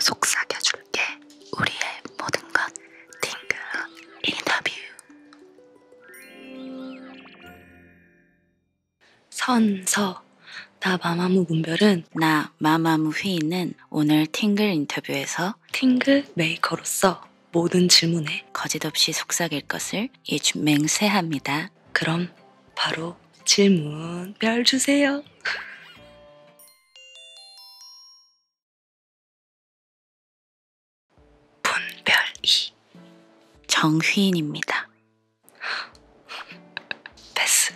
속삭여줄게. 우리의 모든 것 딩글한 인터뷰. 선서 나 마마무 문별은 나 마마무 휘인은 오늘 팅글 인터뷰에서 팅글 메이커로서 모든 질문에 거짓없이 속삭일 것을 예주 맹세합니다. 그럼 바로 질문별 주세요. 분별이 정휘인입니다. 패스.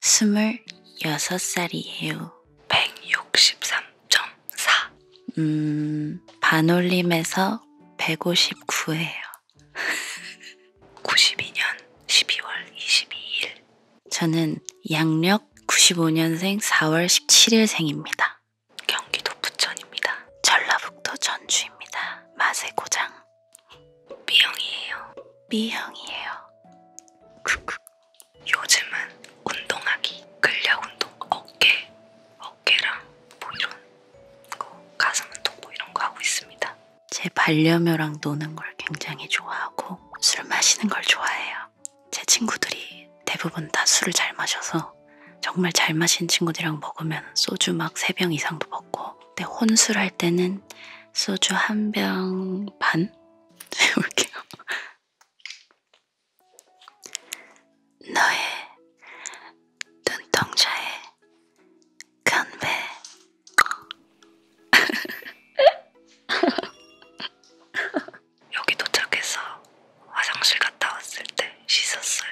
29살. 26살이에요. 163.4. 음, 반올림에서 159예요. 92년 12월 22일. 저는 양력 95년생 4월 17일생입니다. 경기도 부천입니다. 전라북도 전주입니다. 맛의 고장. B형이에요. B형이에요. 크크. 요즘은 운동하기, 근력 운동, 어깨, 어깨랑 뭐 이런 거, 가슴 운동 뭐 이런 거 하고 있습니다. 제 반려묘랑 노는 걸 굉장히 좋아하고 술 마시는 걸 좋아해요. 제 친구들이 대부분 다 술을 잘 마셔서 정말 잘 마신 친구들이랑 먹으면 소주 막 3병 이상도 먹고 근데 혼술할 때는 소주 한 병 반? 세울게요. 너의 눈동자에 건배 여기 도착해서 화장실 갔다 왔을 때 씻었어요.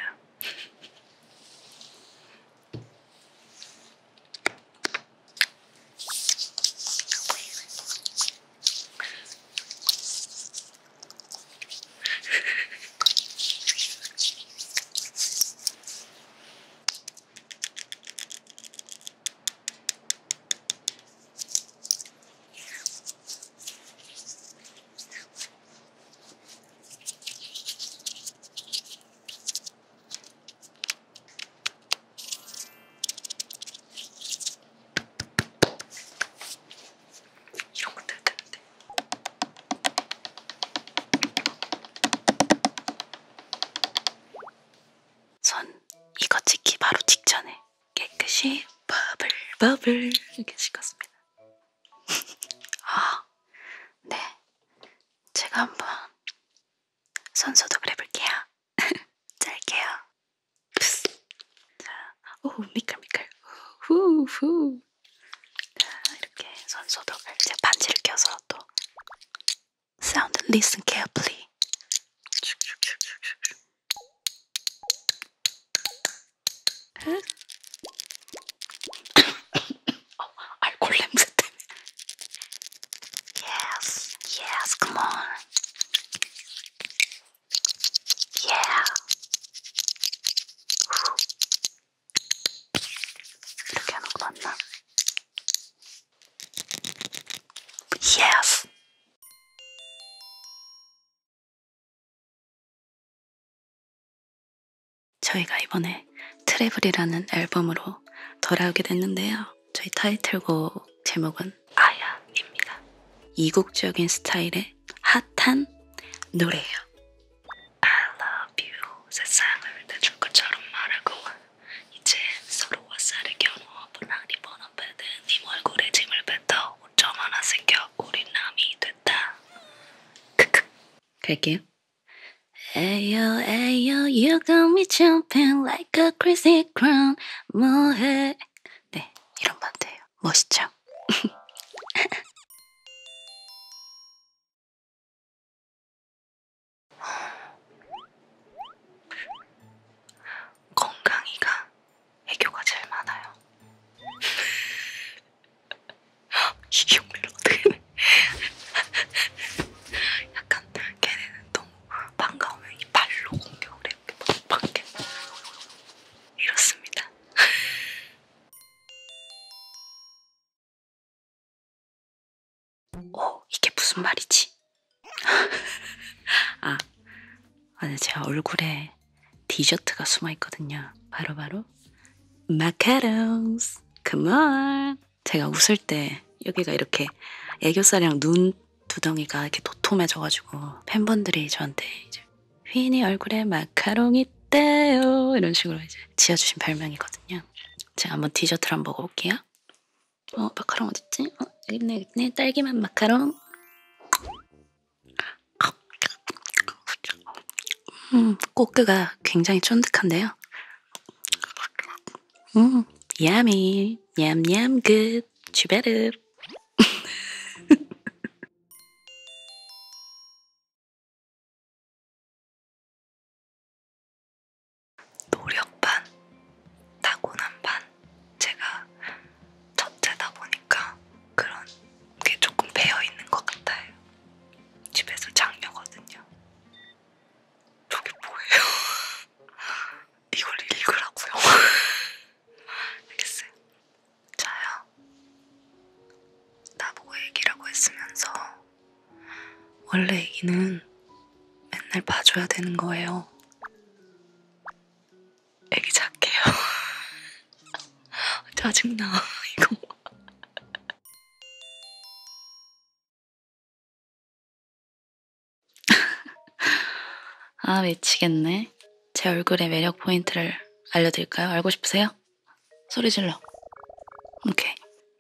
よく出てって。전 이거 찍기 바로 직전에 깨끗이 버블 버블 이렇게 찍었습니다. 아, 네. 제가 한번 손소독을 해볼게요. 짧게요. 자, 오 미끌 미끌. 후 후. 자, 이렇게 손소독을 이제 반지를 껴서 또 sound. Listen carefully. Yes, yes, come on. Yeah. Yes. 저희가 이번에 트래블이라는 앨범으로 돌아오게 됐는데요. 저희 타이틀곡 제목은 아야입니다. 이국적인 스타일의 핫한 노래예요. I love you 세상을 내줄 것처럼 말하고 이제 서로 와사를 겨누어 분황이 번업해든 님 얼굴에 짐을 뱉어 옷점 하나 생겨 우린 남이 됐다. 크크. 갈게요. 에요 에요 you got me jumping like a crazy crown 뭐해 네 이런 반대예요 멋있죠? 건강이가 애교가 제일 많아요. 이게 오늘 어떻게 약간 걔네는 너무 반가우면 이 발로 공격을 해. 밖에 이렇습니다. 오, 어, 이게 무슨 말이지? 아, 아니 제 얼굴에 디저트가 숨어 있거든요. 바로바로 바로 마카롱스. 그만. 제가 웃을 때 여기가 이렇게 애교살이랑 눈 두덩이가 이렇게 도톰해져가지고 팬분들이 저한테 이제 휘인이 얼굴에 마카롱 있대요 이런 식으로 이제 지어주신 별명이거든요. 제가 한번 디저트를 한번 먹어볼게요. 어 마카롱 어딨지? 어 여기네 여기네 딸기맛 마카롱 음 꼬끄가 굉장히 쫀득한데요 음 야미 얌얌 굿 주베르 노력 반, 타고난 반. 제가 첫째다 보니까 그런 게 조금 배어 있는 것 같아요. 집에서 장녀거든요. 저게 뭐예요? 이걸 읽으라고요? 알겠어요. 자요. 나보고 얘기라고 했으면서 원래 애기는 맨날 봐줘야 되는 거예요. 애기 작게요. 짜증나, 이거. 아, 외치겠네. 제 얼굴의 매력 포인트를 알려드릴까요? 알고 싶으세요? 소리 질러. 오케이.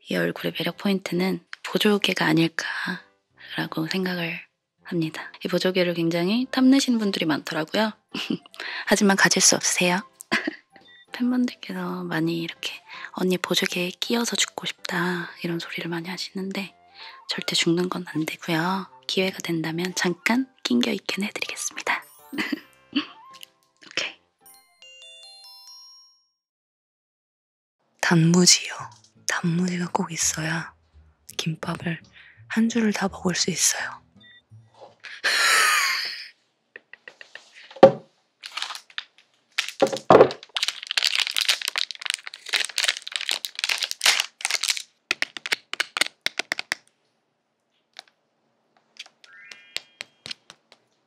이 얼굴의 매력 포인트는 보조개가 아닐까라고 생각을 합니다. 이 보조개를 굉장히 탐내신 분들이 많더라고요. 하지만 가질 수 없으세요. 팬분들께서 많이 이렇게 언니 보조개에 끼어서 죽고 싶다 이런 소리를 많이 하시는데 절대 죽는 건 안 되고요. 기회가 된다면 잠깐 낑겨 있긴 해드리겠습니다. 오케이. 단무지요. 단무지가 꼭 있어야 김밥을 한 줄을 다 먹을 수 있어요.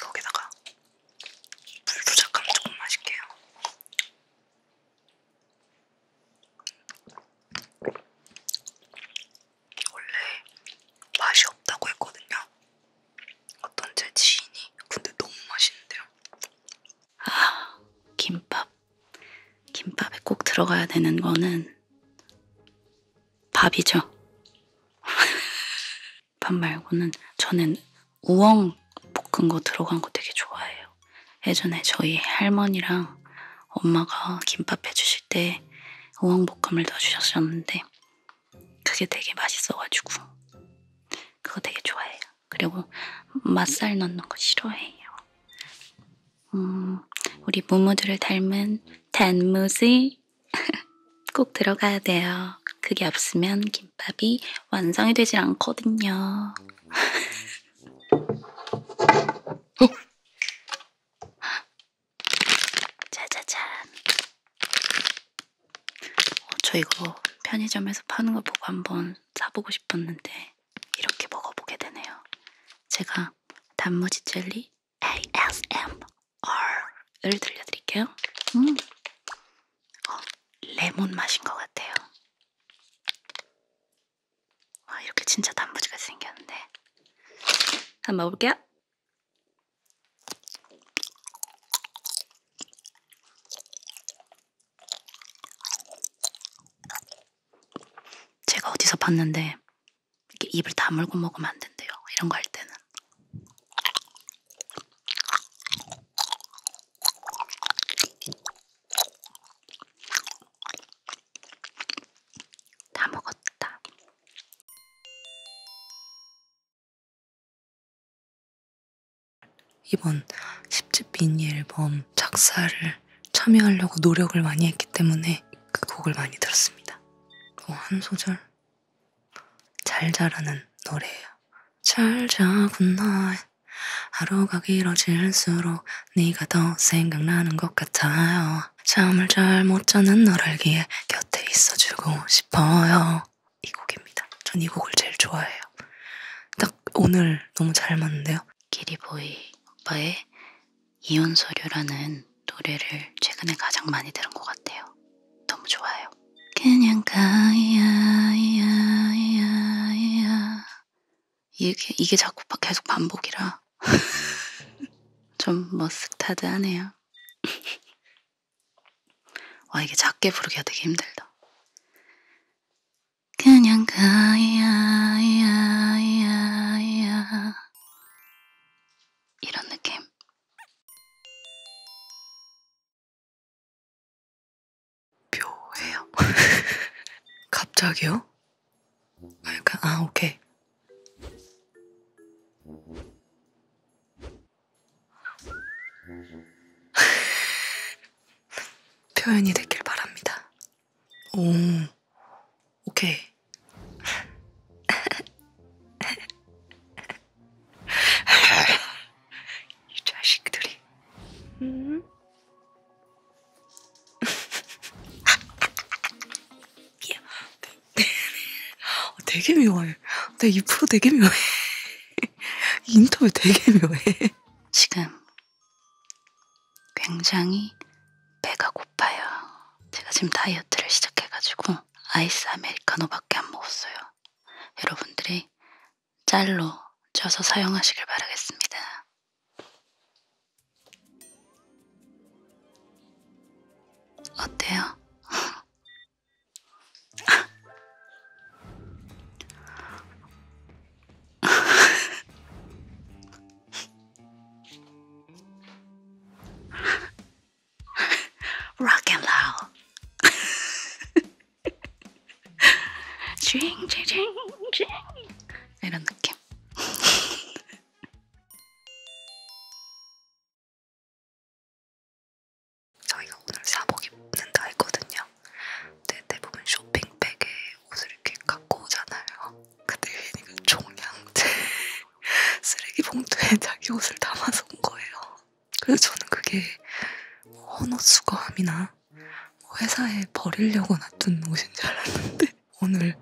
거기다가 물 조작하면 조금 맛있게요. 원래 맛이 없다고 했거든요. 어떤 제 지인이 근데 너무 맛있는데요. 아 김밥 김밥에 꼭 들어가야 되는 거는 밥이죠. 밥 말고는 저는 우엉 볶은 거 들어간 거 되게 좋아해요. 예전에 저희 할머니랑 엄마가 김밥 해주실 때 우엉 볶음을 넣어주셨었는데 그게 되게 맛있어가지고 그거 되게 좋아해요. 그리고 맛살 넣는 거 싫어해요. 음, 우리 모모들을 닮은 단무지 꼭 들어가야 돼요. 그게 없으면 김밥이 완성이 되질 않거든요. 어? 짜자잔. 어, 저 이거 편의점에서 파는 거 보고 한번 사보고 싶었는데 이렇게 먹어보게 되네요. 제가 단무지 젤리 ASMR을 들려드릴게요. 음. 어, 레몬 맛인 것 같아요. 와, 아, 이렇게 진짜 단무지가 생겼는데. 한번 먹어볼게요. 제가 어디서 봤는데 이렇게 입을 다물고 먹으면 안 된대요. 이런 거 할 때는. 다 먹었다. 이번 10집 미니 앨범 작사를 참여하려고 노력을 많이 했기 때문에 그 곡을 많이 들었습니다. 어, 한 소절 잘 자라는 노래예요. 잘 자구나 하루가 길어질수록 네가 더 생각나는 것 같아요. 잠을 잘 못 자는 널 알기에 곁에 있어주고 싶어요. 이 곡입니다. 전 이 곡을 제일 좋아해요. 딱 오늘 너무 잘 맞는데요. 기리보이 오빠의 이혼 서류라는 노래를 최근에 가장 많이 들은 것 같아요. 너무 좋아요. 그냥 가야야야야 이게 이게 자꾸 계속 반복이라 좀 머쓱타드하네요. 뭐 와 이게 작게 부르기가 되게 힘들다. 그냥 가야야야야 이런 느낌. 묘해요. 갑자기요? 아, 약간, 아, 오케이. 표현이 됐길 바랍니다. 오, 오케이. 이 자식들이. 음? 아, 되게 미워해. 내이 프로 되게 미워해. 인터뷰 되게 미워해. 지금 굉장히 배가 고파요. 제가 지금 다이어트를 시작해가지고 아이스 아메리카노밖에 안 먹었어요. 여러분들이 짤로 쪄서 사용하시길 바라겠습니다. 어때요? rock and roll. 쥐잉쥐잉쥐잉 이런 느낌. 저희가 오늘 사복 입는다 했거든요. 근데 대부분 쇼핑백에 옷을 이렇게 갖고 오잖아요. 그때 유인이가 종량제 쓰레기 봉투에 자기 옷을 담아서 온 거예요. 그래서 저는 그게 뭐 헌옷 수거함이나 뭐 회사에 버리려고 놔둔 옷인 줄 알았는데 오늘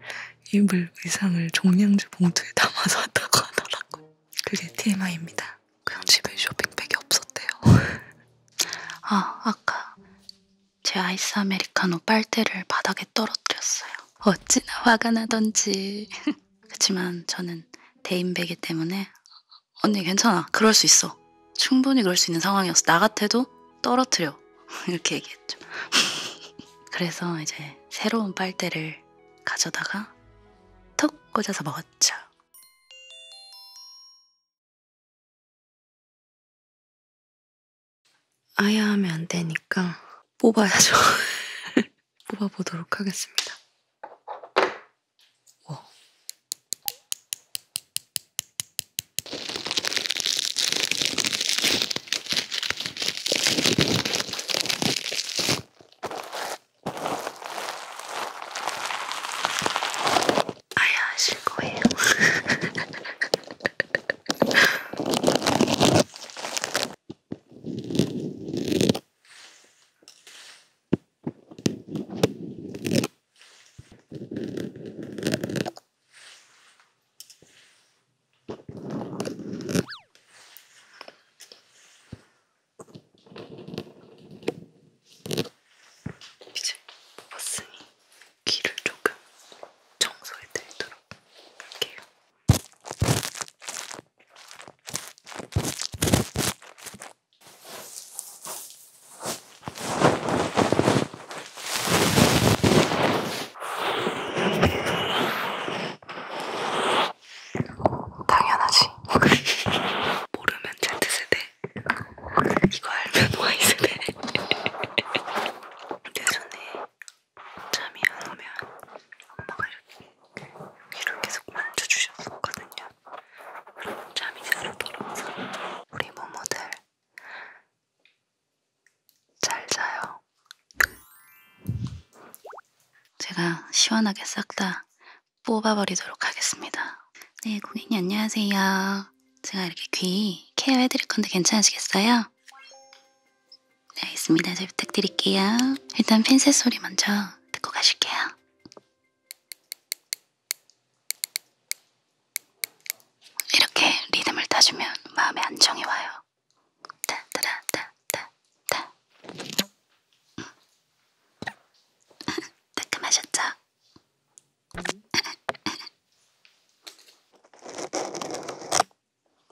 입을 의상을 종량제 봉투에 담아서 왔다고 하더라고요. 그게 TMI입니다. 그냥 집에 쇼핑백이 없었대요. 아, 아까 제 아이스 아메리카노 빨대를 바닥에 떨어뜨렸어요. 어찌나 화가 나던지. 그렇지만 저는 대인배기 때문에 언니 괜찮아. 그럴 수 있어. 충분히 그럴 수 있는 상황이었어. 나 같아도 떨어뜨려. 이렇게 얘기했죠. 그래서 이제 새로운 빨대를 가져다가 턱 꽂아서 먹었죠. 아야 하면 안 되니까 뽑아야죠. 뽑아보도록 하겠습니다. 오. 아야 하실 거예요. 이제 버스니 귀를 조금 청소해 드리도록 할게요. 당연하지. 모르면 Z 세대. 이거 알면 Y 세대. 내 손에 잠이 안 오면 엄마가 이렇게 귀를 계속 만져주셨었거든요. 그럼 잠이 잘 오더라고요. 우리 모모들 잘 자요. 제가 시원하게 싹 다 뽑아버리도록 하겠습니다. 네, 고객님 안녕하세요. 제가 이렇게 귀 케어해드릴 건데 괜찮으시겠어요? 네, 알겠습니다. 잘 부탁드릴게요. 일단 핀셋 소리 먼저 듣고 가실게요. 이렇게 리듬을 타주면 마음에 안정이 와요. 따따라따따따. 음. 따끔하셨죠?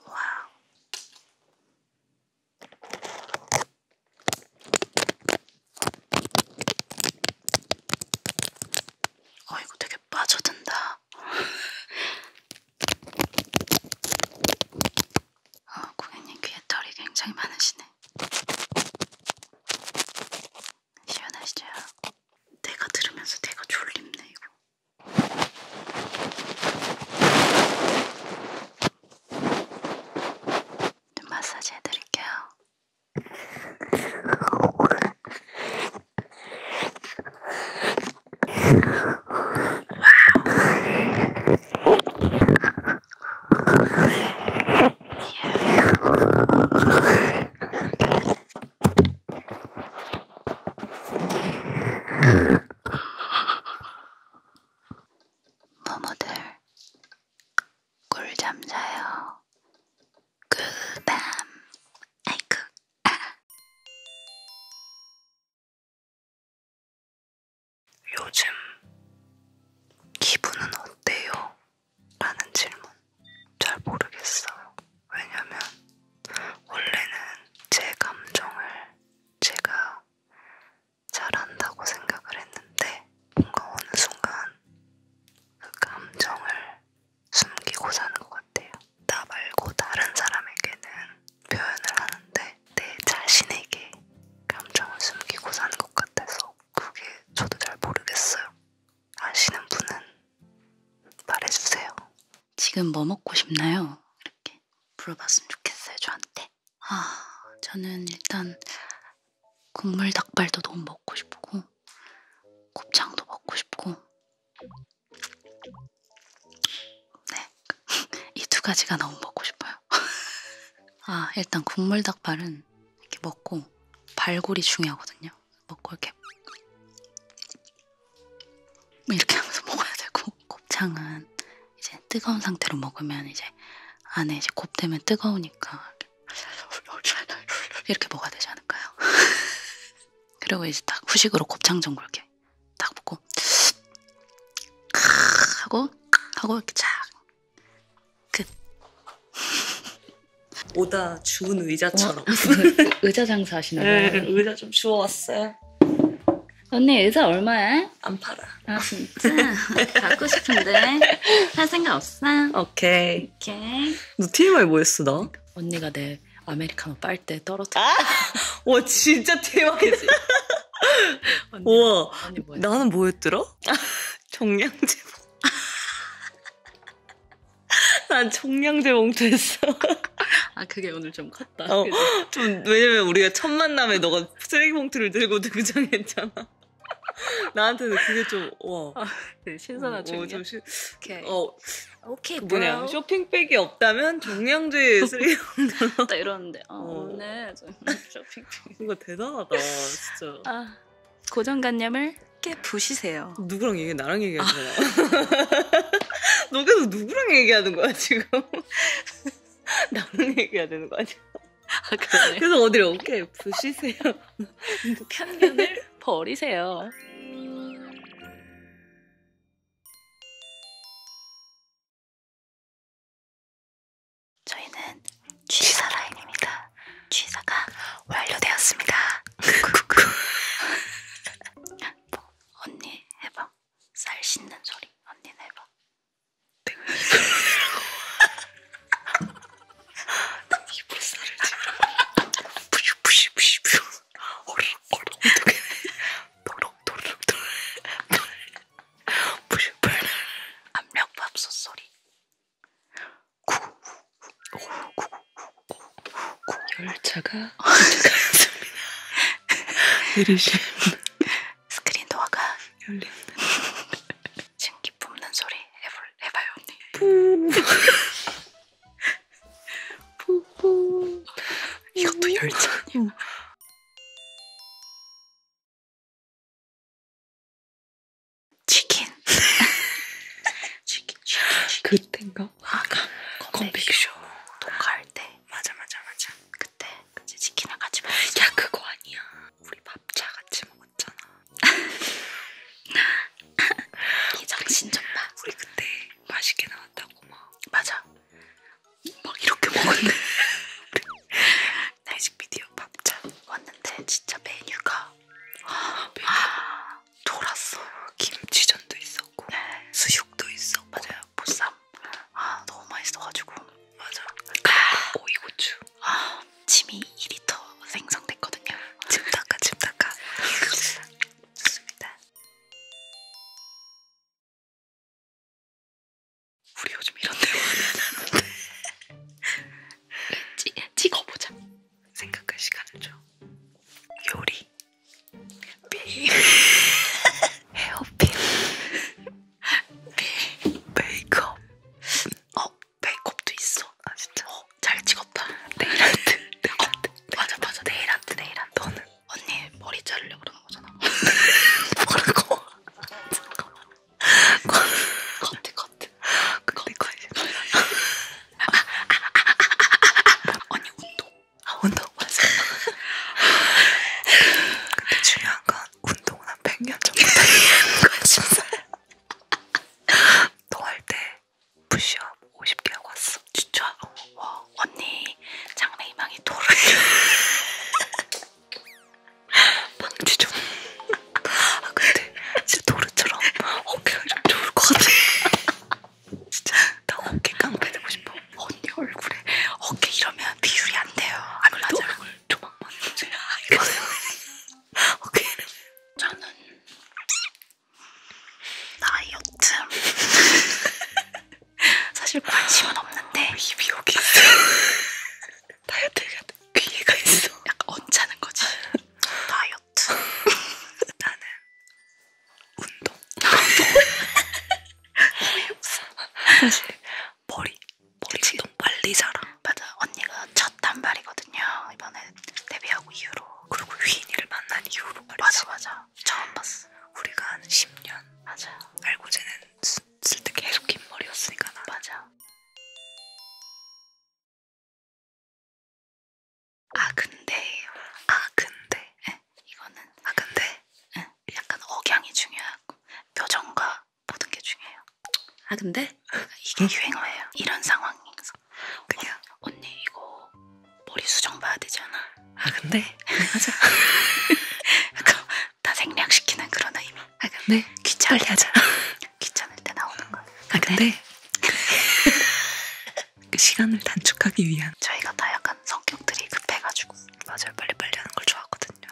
와우. 어, 이거 되게 빠져든다. 어, 고객님 귀에 털이 굉장히 많으시네. 시원하시죠? 내가 들으면서 내가 졸립네 이거. 눈 마사지 해드릴게요. yeah. 모모들 꿀잠 자요. 꿀밤. 아이쿠. 아. 요즘 기분은 어때요? 라는 질문 잘 모르겠어요. 왜냐면 원래는 제 감정을 제가 잘한다고 생각을 했는데 뭔가 어느 순간 그 감정을 숨기고 사는 것 같아요. 나 말고 다른 사람에게는 표현을 하는데 내 자신에게 감정을 숨기고 사는 것 같아서 그게 저도 잘 모르겠어요. 아시는 분은 말해주세요. 지금 뭐 먹고 싶나요? 이렇게 물어봤으면 좋겠어요, 저한테. 아, 저는 일단 국물 닭발도 너무 먹고 싶고, 곱창도 먹고 싶고, 네. 이 두 가지가 너무 먹고 싶어요. 아, 일단 국물 닭발은 이렇게 먹고, 발골이 중요하거든요. 먹고 이렇게 뭐 이렇게 하면서 먹어야 되고 곱창은 이제 뜨거운 상태로 먹으면 이제 안에 이제 곱되면 뜨거우니까 이렇게 먹어야 되지 않을까요? 그리고 이제 딱 후식으로 곱창전 굴게 딱 먹고 하고 하고 이렇게 자 끝. 오다 주운 의자처럼 어, 그 의자 장사하시나요? 네, 의자 좀 주워왔어요. 의자. 언니 의자 얼마야? 안 팔아. 아 진짜? 갖고 싶은데 할 생각 없어? 오케이. 오케이. 너 TMI 뭐였어 나? 언니가 내 아메리카노 빨대 떨어뜨려. 아! 와 진짜 TMI지. 우와. 언니 뭐였어? 나는 뭐였더라? 종량제. 난 청량제 봉투했어. 아 그게 오늘 좀 같다. 어, 좀 왜냐면 우리가 첫 만남에 너가 쓰레기 봉투를 들고 등장했잖아. 나한테는 그게 좀 와. 아, 네, 신선한 어, 어, 좀 시, 오케이. 어, 오케이. 그 뭐냐? 브라우. 쇼핑백이 없다면 종량제 쓰레기 봉투. 나 이러는데 아, 어, 오늘 어. 네, 쇼핑백. 뭔가 대단하다, 진짜. 아, 고정관념을 깨 부시세요. 누구랑 얘기? 나랑 얘기하는 거야. 너 계속 누구랑 얘기하는 거야 지금? 지금 나는 얘기해야 되는 거 아니야? 아, 그러네. 그래서 어디를 어깨 부시세요. 편견을 버리세요. 저희는 취사 라인입니다. 취사가 완료되었습니다. 뭐, 언니 해봐. 쌀 씻는 소리 언니는 해봐. 나 이불살을 지금 부시부시부시부 얼얼 어떻게 도록도록도록 부시부시 압력밥솥 소리 구구구구구구 열차가 도착하였습니다. 느리심. 스크린 도어가 열린다. 증기 뿜는 소리 해볼, 해봐요 언니. 푸푸. 이것도 열차냐. 치킨. 치킨, 치킨, 치킨. 그땐가? 아까 컴백쇼 녹화할 때 맞아 맞아 맞아 그때 그치 치킨을 같이 먹었어 야 그거 아니야 우리 밥차 같이 먹었잖아 이 정신 좀봐 우리 그때 맛있게 나왔다고 막 맞아 막 이렇게 먹었네 날식 비디오 밥차 왔는데 진짜 메뉴가 와, 아, 메뉴 아, 돌았어 김치전도 있었고 네. 수육도 있었고 맞아요 보쌈 아 너무 맛있어가지고 맞아 오이고추 아 침이 2리터 생성됐거든요 침 닦아 침 닦아 좋습니다 우리 요즘 이런 대화는 하는데 네, 찍어보자 생각할 시간을 줘 요리 비 헤어핀 비 메이크업 어 메이크업도 있어 아 진짜 어 잘 찍었다 네일아트 네일아트 어, 맞아 맞아 네일아트 네일아트 너는 언니 머리 자르려 그러는 거잖아 뭐라고 잠깐만 커트 커트 커트 커트 언니 운동 아 운동 맞아. 근데 중요한 건 운동은 한 100년 정도 되는 거야. 너할때 푸시업 50개 하고 왔어. 진짜? 어, 와 언니 장래 희망이 도래. 방지 좀. 아 근데 진짜 도르처럼 어깨가 좀 좋을 것 같아. 진짜 나 어깨 깡패 되고 싶어. 언니 얼굴에 어깨 이러면 비율이 안 돼요. 아무래도 얼굴 조망만 보세요. 어깨 저는 다이어트 사실 관심은 없는데 어, 입이 여기 있어. 다이어트가 귀가 있어. 약간 언짢은 거지. 다이어트. 나는 운동. 없어. 사실 머리 머리 그치? 운동 빨리 자라. 맞아. 언니가 첫 단발이거든요. 이번에 데뷔하고 이후로. 그리고 휘인이를 만난 이후로 말이지. 맞아 맞아. 처음 봤어. 우리가 한 10년. 맞아. 알고 지낸 쓸때 계속 긴 머리였으니까 나. 맞아. 아 근데요. 아 근데. 네. 이거는 아 근데 응. 약간 억양이 중요하고 표정과 모든 게 중요해요. 아 근데 이게 응? 유행어예요. 이런 상황에서 그냥 어, 언니 이거 머리 수정 봐야 되잖아. 아 근데 하자. 약간 다 생략시키는 그런 의미. 아 근데 귀찮 빨리 하자. 귀찮을 때 나오는 거. 아 근데, 근데. 그 시간을 단축하기 위한 저희가 다 약간 약간 성격들이 급해가지고 맞아요 빨리빨리 하는 걸 좋아하거든요.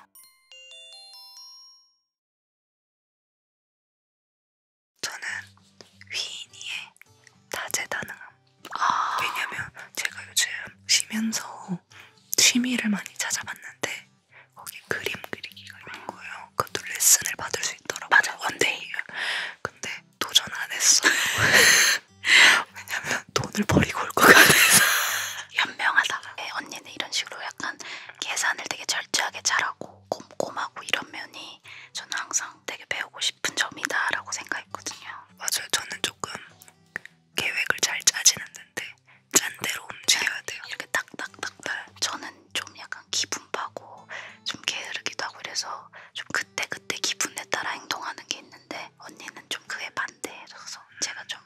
저는 위인이의 다재다능함 아 왜냐면 제가 요즘 쉬면서 취미를 많이 찾아봤는데 거기 그림 그리기가 있는 거예요. 그것도 레슨을 받을 수 있더라고요. 맞아 원데이요. 근데 도전 안 했어. 왜냐면 돈을 버리고 올 것 같아서 현명하다 네, 언니는 이런 식으로 약간 계산을 되게 절제하게 잘하고 꼼꼼하고 이런 면이 저는 항상 되게 배우고 싶은 점이다 라고 생각했거든요 맞아요 저는 조금 계획을 잘 짜지는 않는데 짠대로 움직여야 네, 돼요 이렇게 딱딱딱딱 저는 좀 약간 기분 파고 좀 게으르기도 하고 그래서 좀 그때그때 그때 기분에 따라 행동하는 게 있는데 언니는 좀 그에 반대해서 제가 좀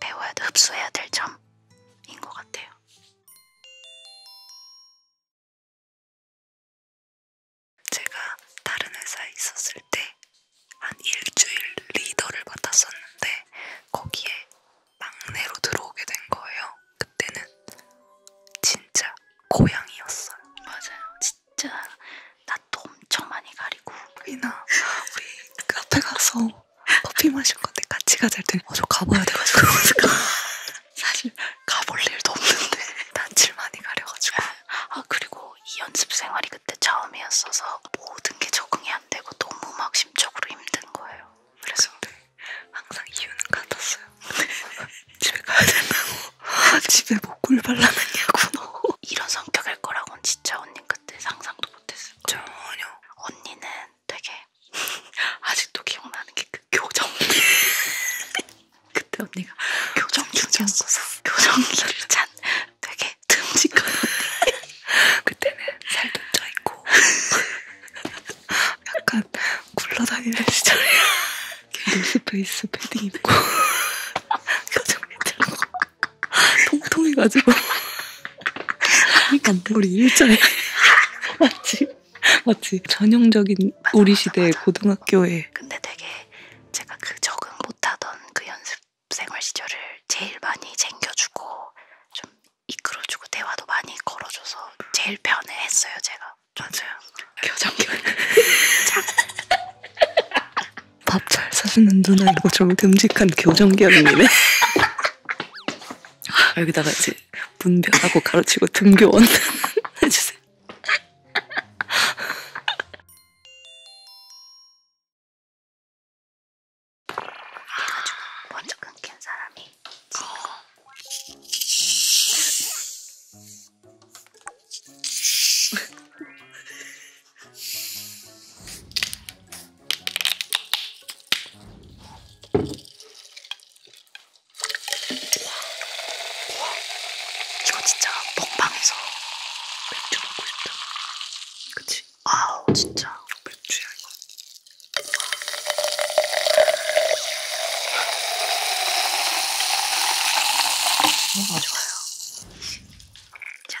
배워야 돼, 흡수해야 될 점인 것 같아요. 제가 다른 회사에 있었을 때 한 일주일 리더를 맡았었는데 거기에 막내로 들어오게 된 거예요. 그때는 진짜 고양이였어요. 맞아요. 진짜 나도 엄청 많이 가리고 우리나 우리 카페 그 가서 커피 마실 건데 같이 가자 할때 어저 가봐야 돼가지고 사실 가볼 일도 없는데 낯을 많이 가려가지고 아 그리고 이 연습 생활이 그때 처음이었어서 모든 게 적응이 안 되고 너무 막 심적으로 힘든 거예요. 그래서 항상 이유는 같았어요. 집에 가야 된다고. 아, 집에 목골 발라놨냐고 너. 이런 성격일 거라고는 진짜 언니 그때 상상도 못했을 거예요. 전혀. 언니는 되게 아직도 기억나는 게 그 교정. 그때 언니가 교정 중이었어서 교정기를 찬 되게 듬직한 언니. 그때는 살도 쪄있고 약간 굴러다니는 시절이야. 스페이스 패딩 입고. 표정 괜찮고 통통해가지고. 그러니까 우리 일자에 맞지? 맞지? 전형적인 맞아, 우리 시대 맞아, 맞아. 고등학교에. 근데 되게 제가 그 적응 못하던 그 연습생활 시절을 제일 많이 챙겨주고 좀 이끌어주고 대화도 많이 걸어줘서 제일 편해했어요 제가. 맞아요. 교정교. 참. 밥잘 사주는 누나 이거 좀 듬직한 교정기업이네. 아, 여기다가 이제 문별하고 가로치고 등교원 해주세요. 그래가지고 먼저 끊긴 사람이 어. 이거 진짜 먹방에서 맥주 먹고 싶다. 그치? 아우 진짜 맥주야 이거. 너무 좋아요. 자,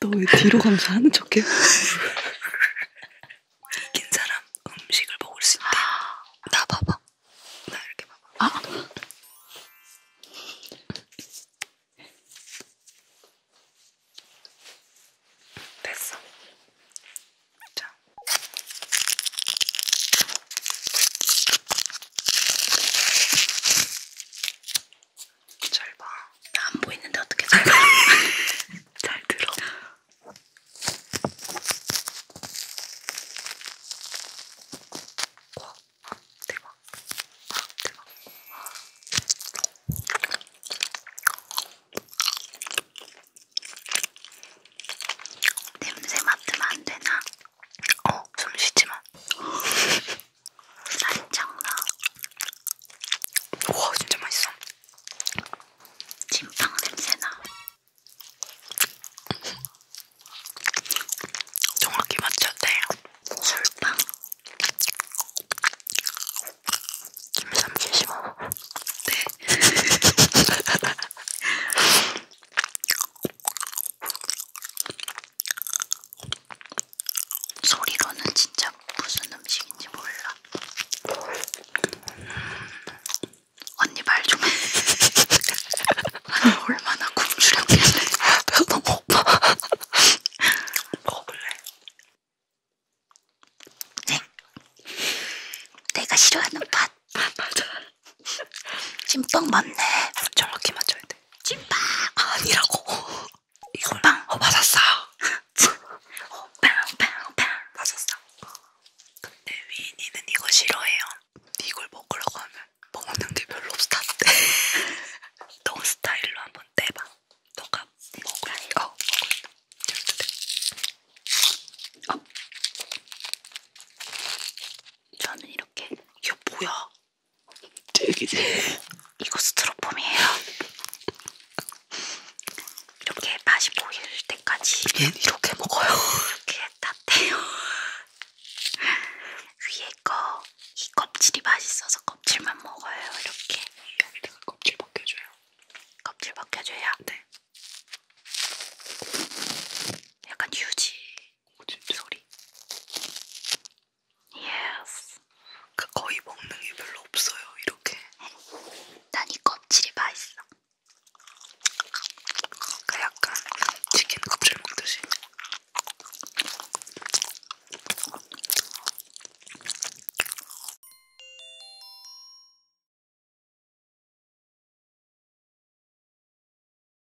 너왜 뒤로 가면서 하는 척해? 긴 사람 음식을 먹을 수 있대. 나 봐봐. 나 이렇게 봐봐. 아. 됐어. 자. 잘 봐. 나안 보이는데 어떻게 잘 봐? 잘 들어. 와, 대박. 와, 대박. 냄새 맡으면 안 되나? 어, 숨 쉬지 마. 살짝나 우와 진짜 맛있어 찐빵 냄새나 정확히 맞췄대요 술빵 김삼계 심어 네 소리로는 진짜 무슨 음식인지 몰라. 언니 말 좀 해. 아니 얼마나 굶주렸길래. 너무 고파. 먹어볼래? 네. 내가 싫어하는 팥. 아, 맞아. 찐빵 맞네. 저렇게 맞춰야 돼. 찐빵! 아, 아니라고. 이걸 빵! 어 맞았어! 어, 빵! 빵! 빵! 맞았어! 근데 위인이는 이거 싫어해요 이걸 먹으려고 하면 먹는 게 별로 없었대 너 스타일로 한 번 떼봐 너가 먹을.. 어! 먹을.. 어! 저는 어. 이렇게 이게 뭐야? 이거 스트로폼이에요. 이렇게 맛이 보일 때까지 예, 이렇게 먹어요. 이렇게 땄대요. 위에 거이 껍질이 맛있어서 껍질만 먹어요. 이렇게. 여기다가 껍질 벗겨줘요. 껍질 벗겨줘요. 네. 약간 유지 오, 소리. Yes. 그 거의 먹는 게 별로 없어요. 이렇게. 난이 껍질이 맛있어. 그 약간 치킨 껍질 먹듯이.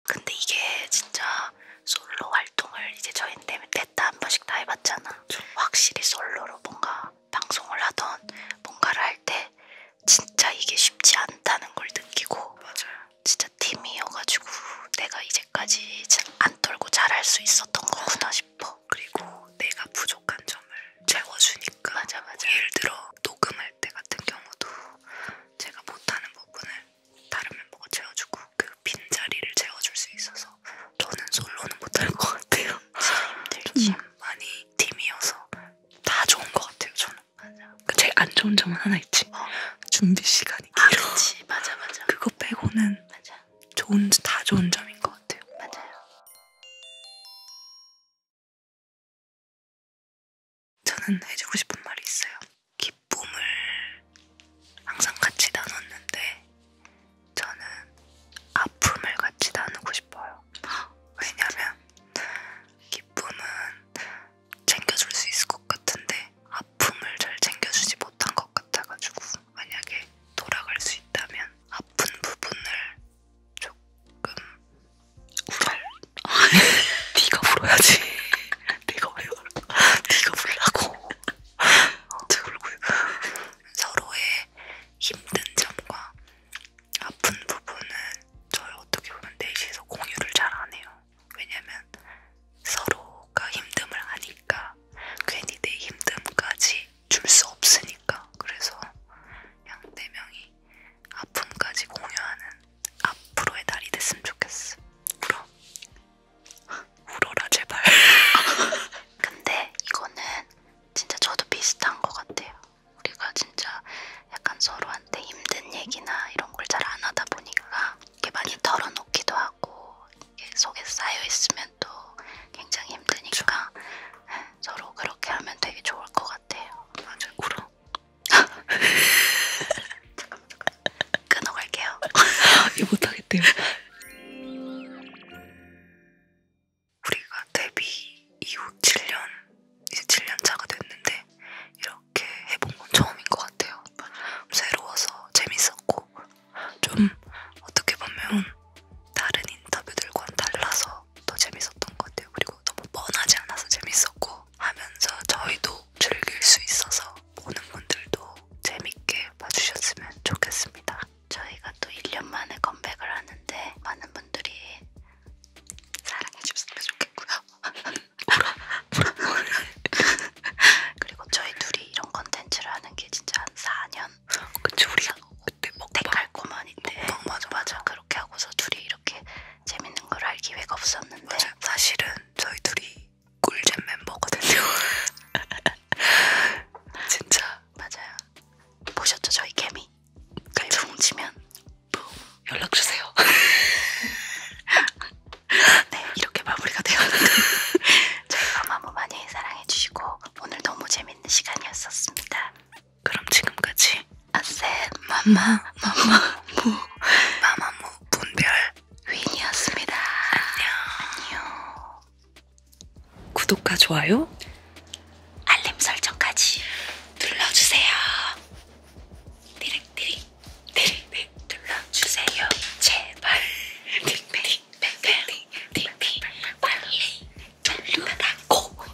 근데 이게 진짜 솔로 활동을 이제 저희 때문에 셋다 한 번씩 다 해봤잖아. 확실히 솔로로 뭔가 방송을 하던 뭔가를 할 때 진짜 이게 쉽지 않다는 걸 느끼고 맞아요. 진짜 팀이어가지고 내가 이제까지 안 떨고 잘할 수 있었던 거구나 싶어. 그리고 내가 부족한 점을 채워주니까 맞아 맞아. 뭐 예를 들어 녹음할 때 같은 경우도 제가 못하는 부분을 다른 멤버가 채워주고 그 빈자리를 채워줄 수 있어서 저는 솔로는 못할 것 같아요. 힘들지. 음. 많이 팀이어서 다 좋은 것 같아요. 저는. 맞아. 그 제일 안 좋은 점은 하나 있지. 어. 준비 시간이 아, 길어. 아, 그렇지. 맞아 맞아. 그거 빼고는 맞아. 좋은 다 좋은 점인 것 같아요. 맞아요. 저는 해주고 싶은 말이 있어요. 기쁨을 항상 같이 나눴는데 저는 아픔을 같이 나누고 싶어요. 왜냐면 기쁨은 챙겨줄 수 있을 것 같은데 아픔을 잘 챙겨주지 못한 것 같아가지고 만약에 돌아갈 수 있다면 아픈 부분을 조금 울어. 네가 울어야지. 내가 왜 울어? 네가 울라고. 제 얼굴 서로의 힘든 점과 아픈 부분은 저희 어떻게 보면 넷이서 공유를 잘 안 해요. 왜냐면 서로가 힘듦을 아니까 괜히 내 힘듦까지 줄 수 없으니까 그래서 양네 명이 아픔까지 공유하는 앞으로의 날이 됐으면 좋겠어. 그럼 울어라 제발. 근데 이거는 진짜 저도 비슷한 것 같아요. 우리가 진짜 약간 서로한테 힘든 얘기나 이런 걸 잘 안 하다 보니까 이게 많이 네. 털어놓기도 하고 이게 속에 쌓여 있으면 또 굉장히 힘드니까 예, 서로 그렇게 하면 되게 좋을 것 같아요. 맞아 울어. 잠깐만 잠깐만. 끊어갈게요. 이거 못하겠대요. 우리가 데뷔 이후 7년, 이제 7년 차가 됐는데 이렇게 해본 건 처음인 것 같아요. 새로워서 재밌었고 좀 어떻게 보면 다른 인터뷰들과는 달라서 더 재밌었던 것 같아요. 그리고 너무 뻔하지 않아서 재밌었고 하면서 저희도 즐길 수 있어서 보는 분들도 재밌게 봐주셨으면 좋겠습니다. 저희가 또 1년 만에 컴백을 하는데 많은 분들이 사랑해주셨으면 좋겠고요. 그리고 저희 둘이 이런 컨텐츠를 하는 게 진짜 한 4년? 그치 우리가 그때 먹방갈고만인데 맞아 맞아 그렇게 하고서 둘이 이렇게 재밌는 걸 할 기회가 없었는데 맞아. 사실은 저희 둘이 꿀잼 멤버거든요. 진짜 맞아요. 보셨죠 저희 개미? 개미 치면 연락 주세요. 네 이렇게 마무리가 되었는데 저희 마마무 많이 사랑해 주시고 오늘 너무 재밌는 시간이었었습니다. 그럼 지금까지 아셋 마마 마마 무 마마 무 분별 윈이었습니다. 안녕 안녕. 구독과 좋아요, 알림 설정까지 눌러주세요. 디릭디릭, 디릭디릭 눌러주세요. 제발. 띵띵띵띵띵띵띵 빨리 눌러달고.